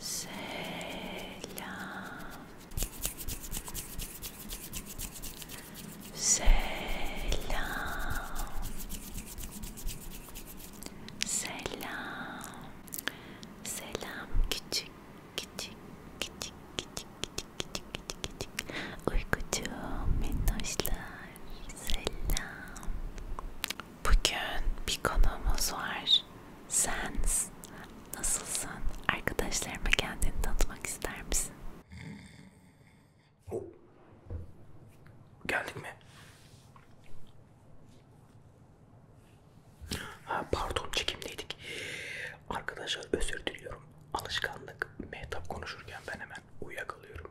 Selam. Selam. Selam. Selam küçük küçük küçük küçük küçük küçük küçük küçük. Uykucu minnoşlar. Selam. Bugün bir konuğumuz var. Sens. Nasılsın? Arkadaşlarıma kendini tanıtmak ister misin? Oh. Geldik mi? Ha, pardon çekimdeydik. Arkadaşlar özür diliyorum. Alışkanlık. Mehtap konuşurken ben hemen uyuyakalıyorum.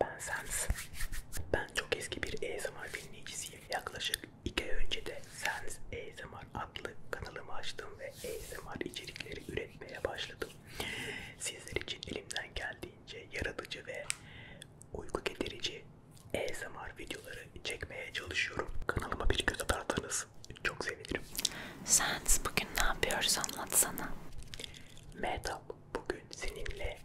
Ben Sens. Ben çok eski bir ASMR dinleyicisiyim. Yaklaşık 2 ay önce de Sens ASMR adlı kanalımı açtım ve ASMR içerikleri üretmeye başladım. Sizler için elimden geldiğince yaratıcı ve uyku getirici ASMR videoları çekmeye çalışıyorum. Kanalıma bir göz atarsanız çok sevinirim. Sens bugün ne yapıyoruz anlatsana. Mehtap bugün seninle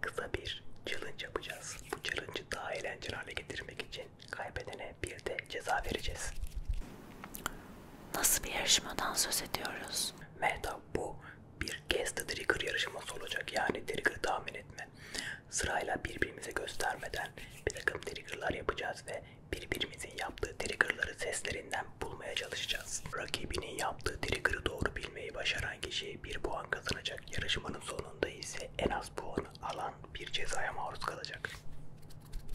kısa bir challenge yapacağız. Bu challenge'ı daha eğlenceli hale getirmek için kaybedene bir de ceza vereceğiz. Nasıl bir yarışmadan söz ediyoruz? Meta bu bir guess the trigger yarışması olacak. Yani trigger tahmin etme. Sırayla birbirimize göstermeden bir takım triggerlar yapacağız ve birbirimizin yaptığı triggerları seslerinden temp bulmaya çalışacağız. Rakibinin yaptığı trigger'ı doğru bilmeyi başaran kişi bir puan kazanacak. Yarışmanın sonunda ise en az puanı alan bir cezaya maruz kalacak.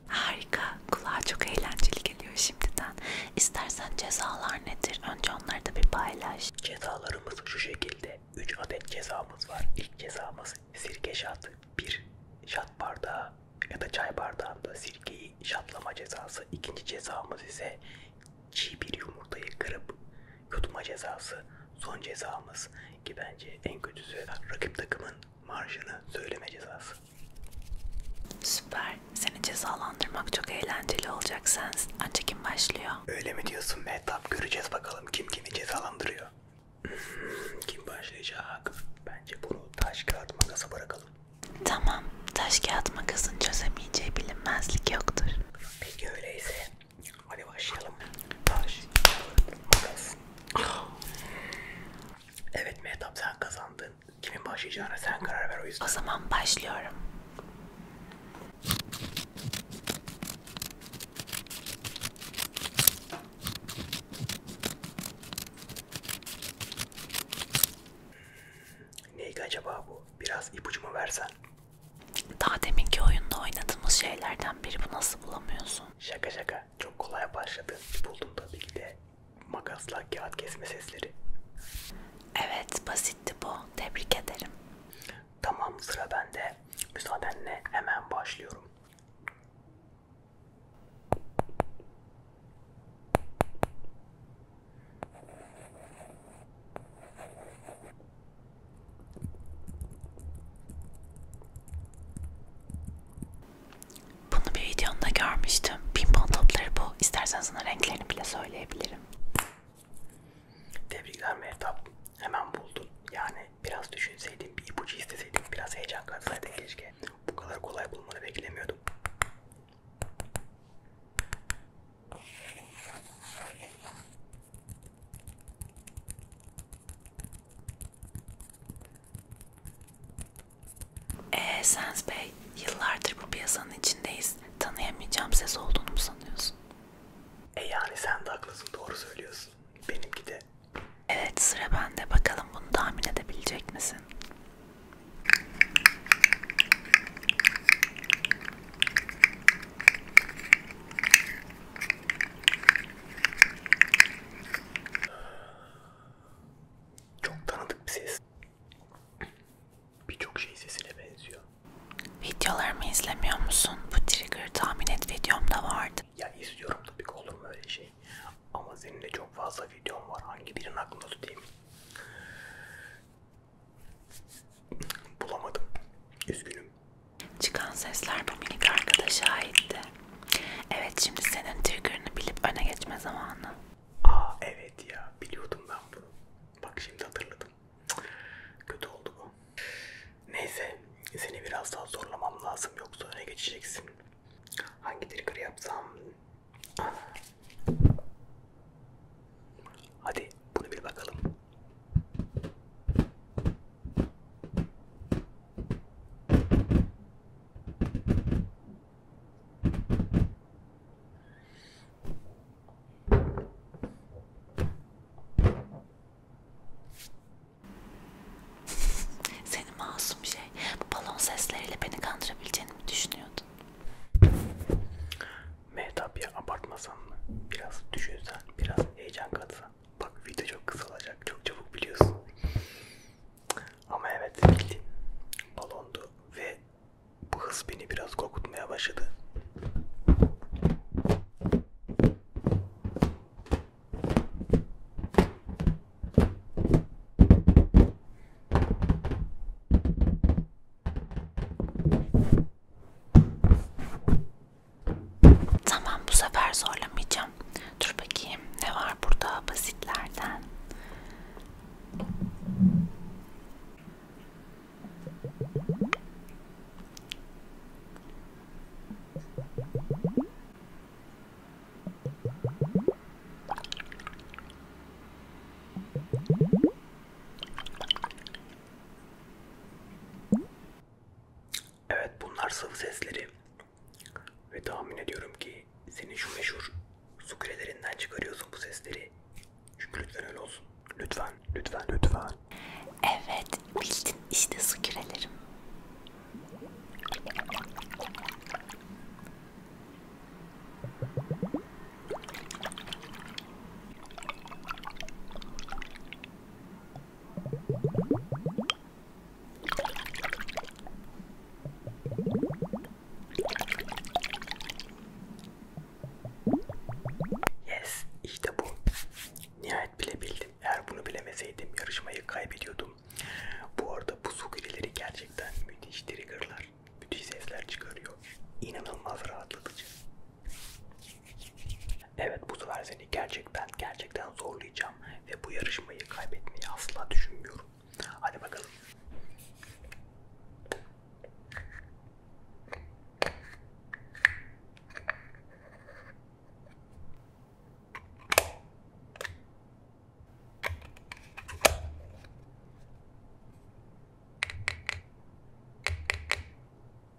Harika. Kulağa çok eğlenceli geliyor şimdiden. İstersen cezalar nedir? Önce onları da bir paylaş. Cezalarımız şu şekilde. 3 adet cezamız var. İlk cezamız sirke şatı. 1 şat bardağı ya da çay bardağında sirkeyi bir şaplama cezası. İkinci cezamız ise çiğ bir yumurtayı kırıp yutma cezası. Son cezamız ki bence en kötüsü rakip takımın marjını söyleme cezası. Süper. Seni cezalandırmak çok eğlenceli olacak Sens. Antekin başlıyor. Öyle mi diyorsun Mehtap? Göreceğiz bakalım kim kimi cezalandırıyor. Hmm, kim başlayacak? Bence bunu taş kağıt makasa bırakalım. Tamam, taş kağıt makasın çözemeyeceği bilinmezlik yoktur. Peki öyleyse, hadi başlayalım. Taş kağıt makas. Evet Mehtap sen kazandın. Kimin başlayacağına sen karar ver o yüzden. O zaman başlıyorum. Neydi acaba bu? Biraz ipucu mu versen? Daha deminki oyunda oynadığımız şeylerden biri bu nasıl bulamıyorsun? Şaka şaka çok kolay başladı. Buldum tabii ki de makasla kağıt kesme sesleri. Evet basitti bu. Tebrik ederim. Tamam sıra bende. Müsaadenle hemen başlıyorum. Bunu bir videonda görmüştüm. Pimpon topları bu. İstersen sana renklerini bile söyleyebilirim. Tebrikler Mehtap. Hemen buldun. Yani biraz düşünseydin, bir ipucu isteseydim, biraz heyecan katsaydı keşke. Bu kadar kolay bulmanı beklemiyordum. Eee Sens Bey, yıllardır bu piyasanın içindeyiz. Tanıyamayacağım ses olduğunu mu sanıyorsun? E yani sen de haklısın, doğru söylüyorsun. Benimki de Evet sıra bende. Bakalım bunu tahmin edebilecek misin? Çok tanıdık bir ses. Birçok şey sesine benziyor. Videolarımı izlemiyor musun? Bu trigger tahmin et videomda vardı. Ya izliyorum tabii ki olur mu öyle şey? şey. Ama senin de çok fazla videom var. Hangi birini aklımda tutayım? Bulamadım. Üzgünüm. Çıkan sesler bu minik arkadaşa aitti. Evet şimdi senin trigger'ını bilip öne geçme zamanı. Aa evet ya biliyordum ben bunu. Bak şimdi hatırladım. Kötü oldu bu. Neyse seni biraz daha zorlamam lazım yoksa öne geçeceksin. Hangi trigger yapsam? Hadi bunu bir bakalım. Senin masum şey bu balon sesleriyle beni kandırabileceğini mi düşünüyordun? Mehtap ya abartmasan mı? Biraz düşünsen, biraz heyecan katsan. Bak video çok kısalacak, çok çabuk biliyorsun. Ama evet bildin. Balondu ve bu hız beni biraz korkutmaya başladı. Tamam bu sefer zorlamayacağım. Dur bakayım ne var burada basitlerden. Evet bunlar sıvı sesleri ve tahmin ediyorum ki senin şu meşhur su kürelerinden çıkarıyorsun bu sesleri. Çünkü lütfen öyle olsun. Lütfen, lütfen, lütfen falan. Evet, bildin işte su kürelerim. Yes, işte bu. Nihayet bilebildim. Eğer bunu bilemeseydim yarışmayı kaybediyordum. Bu arada bu su grileri gerçekten müthiş triggerlar, müthiş sesler çıkarıyor. İnanılmaz rahatlatıcı. Evet bu sefer seni gerçekten gerçekten zorlayacağım ve bu yarışmayı kaybetmeyi asla düşünmüyorum. Hadi bakalım.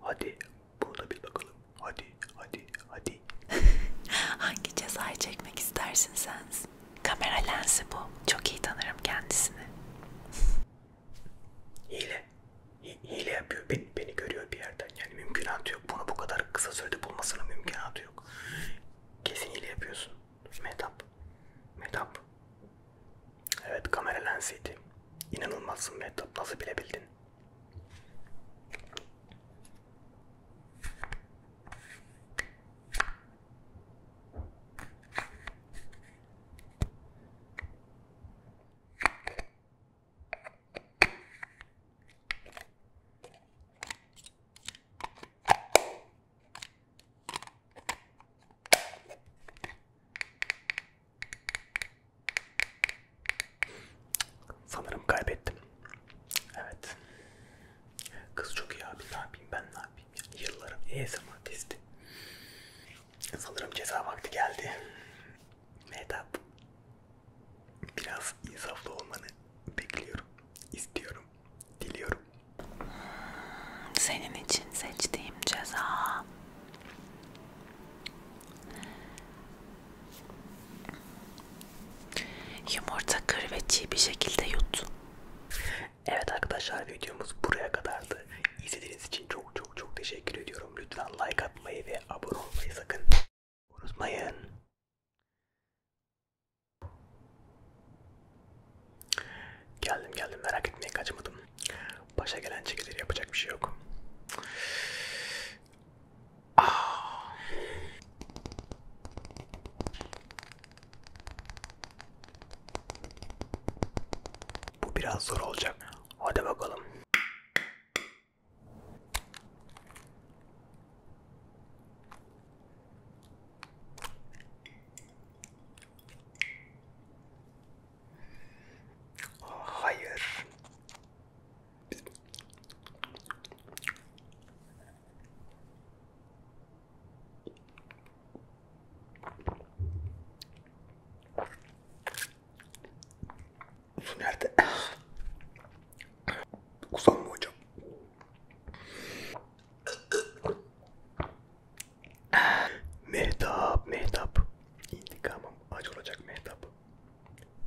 Hadi burada bir bakalım. Hadi, hadi, hadi. Hangi cezayı çekmek istersin sen? Kamera lensi bu. Çok iyi tanırım kendisini hile hile yapıyor beni, beni görüyor bir yerden yani mümkünatı yok bunu bu kadar kısa sürede bulmasının mümkünatı yok kesin hile yapıyorsun metap metap evet kamera lensiydi inanılmazsın metap nasıl bilebildin Sanırım kaybettim. Evet. Kız çok iyi abi. Ne yapayım ben ne yapayım? Yani yıllarım e ASMR testi. Sanırım ceza vakti geldi. Mehtap. Biraz insaflı olmanı bekliyorum. istiyorum, Diliyorum. Senin için seçtiğim ceza. Yumurta kır ve çiğ bir şekilde yut. Evet arkadaşlar videomuz buraya kadardı. İzlediğiniz için çok çok çok teşekkür ediyorum. Lütfen like atmayı ve abone olmayı sakın unutmayın. Geldim geldim merak etmeyin kaçmadım. Başa gelen çekilir yapacak bir şey yok. Ah. Bu biraz zor olacak. Hadi bakalım. Hayır. Su nerede? Kusam mı hocam? mehtap, mehtap. İntikamım acı olacak mehtap.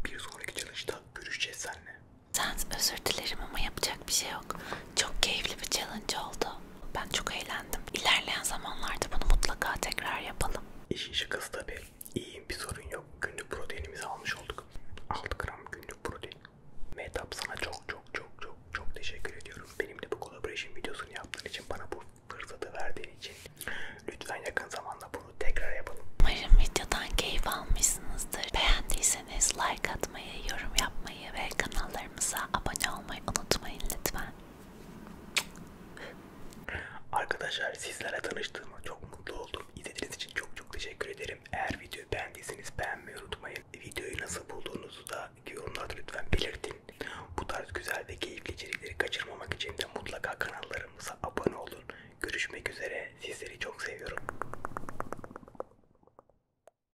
Bir sonraki challenge'da görüşeceğiz seninle. Sen özür dilerim ama yapacak bir şey yok. Çok keyifli bir challenge oldu. Ben çok eğlendim. İlerleyen zamanlarda bunu mutlaka tekrar yapalım. İşin şakası tabi. İyiyim bir sorun yok. Günlük proteinimizi almış olduk. 6 gram günlük protein. Mehtap sana çok çok çok çok çok teşekkür ediyorum. Benimle bu collaboration videosunu yaptığın için bana bu fırsatı verdiğin için. Lütfen yakın zamanda bunu tekrar yapalım. Umarım videodan keyif almışsınızdır. Beğendiyseniz like atmayı, yorum yapmayı ve kanala kanallarımıza abone olmayı unutmayın lütfen. Arkadaşlar sizlerle tanıştığıma çok mutlu oldum. İzlediğiniz için çok çok teşekkür ederim. Eğer videoyu beğendiyseniz beğenmeyi unutmayın. Videoyu nasıl bulduğunuzu da yorumlarda lütfen belirtin. Bu tarz güzel ve keyifli içerikleri kaçırmamak için de mutlaka kanallarımıza abone olun. Görüşmek üzere. Sizleri çok seviyorum.